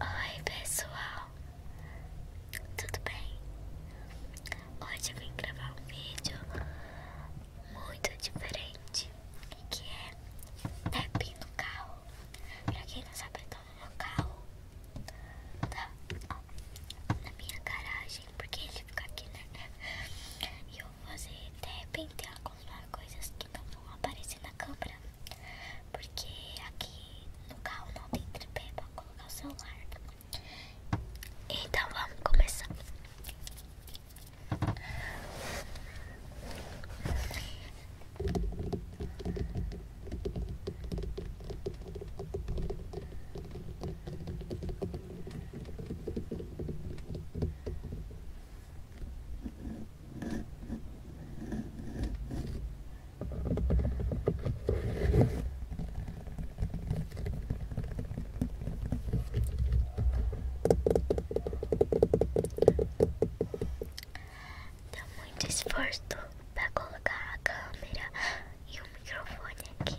Oi pessoal, tudo bem? Hoje eu vim gravar um vídeo muito diferente que é tapping no carro. Pra quem não sabe, eu tô no carro tá, ó, na minha garagem, porque ele fica aqui, né? E eu vou fazer, de repente, algumas coisas que não vão aparecer na câmera, porque aqui no carro não tem tripé pra colocar o celular. Então vamos começar. Dá muito esforço para colocar a câmera e o microfone aqui.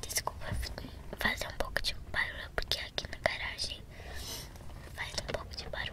Desculpa fazer um pouco de barulho, porque aqui na garagem faz um pouco de barulho.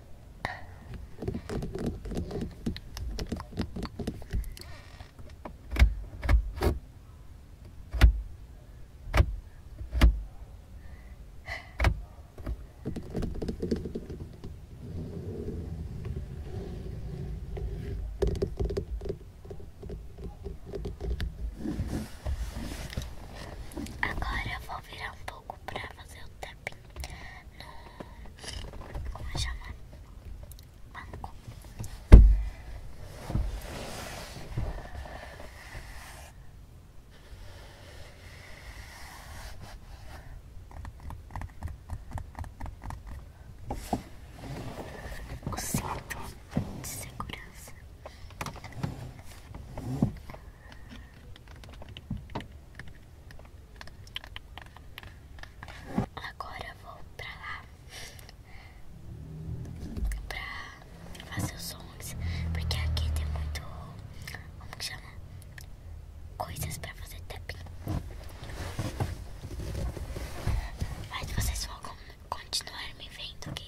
Agora vou virar um pouco pouco pra fazer o tapping Como é chamar? Banco. O cinto de segurança. Agora eu vou pra lá pra fazer os sons, porque aqui tem muito, como que chama? Coisas pra fazer tapping. Mas vocês vão continuar me vendo, ok?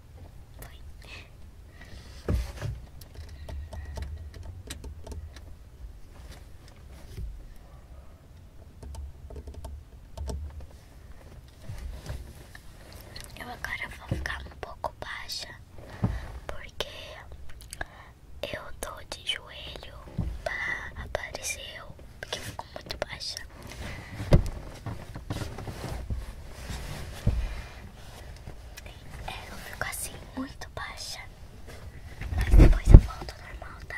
Eu agora vou ficar um pouco baixa porque eu tô de joelho para aparecer eu, porque ficou muito baixa. É, eu fico assim muito baixa. Mas depois eu volto normal, tá?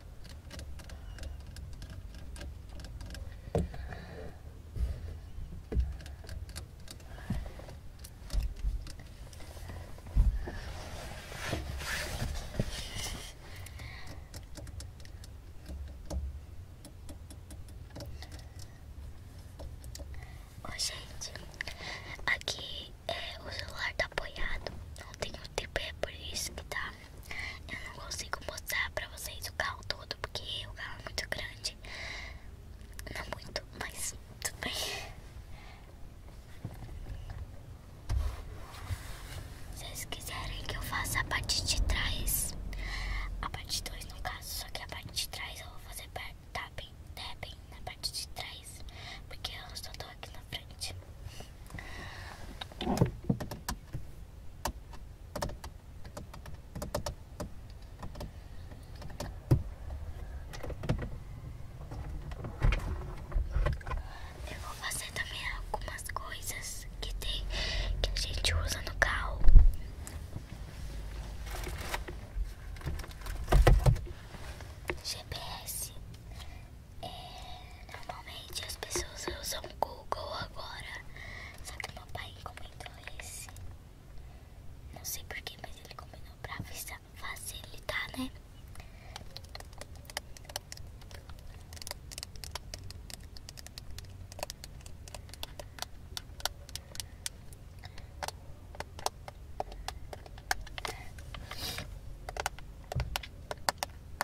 oi gente, aqui é, o celular tá apoiado, não tenho um TP, é por isso que tá eu não consigo mostrar pra vocês o carro todo, porque o carro é muito grande. Não muito, mas tudo bem. Se vocês quiserem que eu faça a parte de trás, a parte 2 no caso, só que a parte de trás eu vou fazer tá bem, tá bem na parte de trás, porque eu só tô aqui na frente. Eu vou fazer também algumas coisas que tem que a gente usa no carro. GPS é, normalmente as pessoas usam o Google agora. Só que meu pai comentou esse. Não sei porquê, mas ele combinou pra facilitar, né?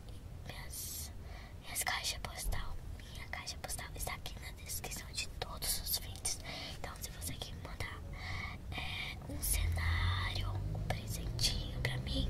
minhas, minhas, caixas postal. Minha caixa postal está aqui na descrição de todos os vídeos. Então se você quer mandar é, um cenário, um presentinho pra mim.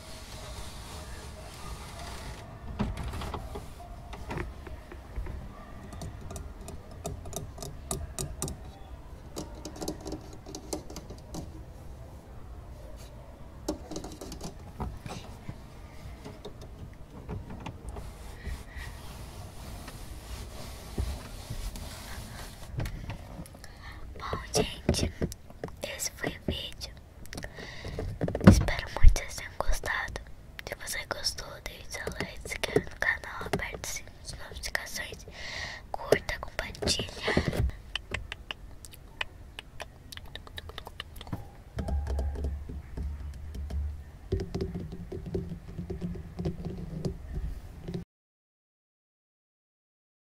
Bom, gente, esse foi o vídeo. Espero muito que vocês tenham gostado. Se você gostou, deixe seu like, se inscreva no canal, aperte o sininho notificações, curta, compartilha.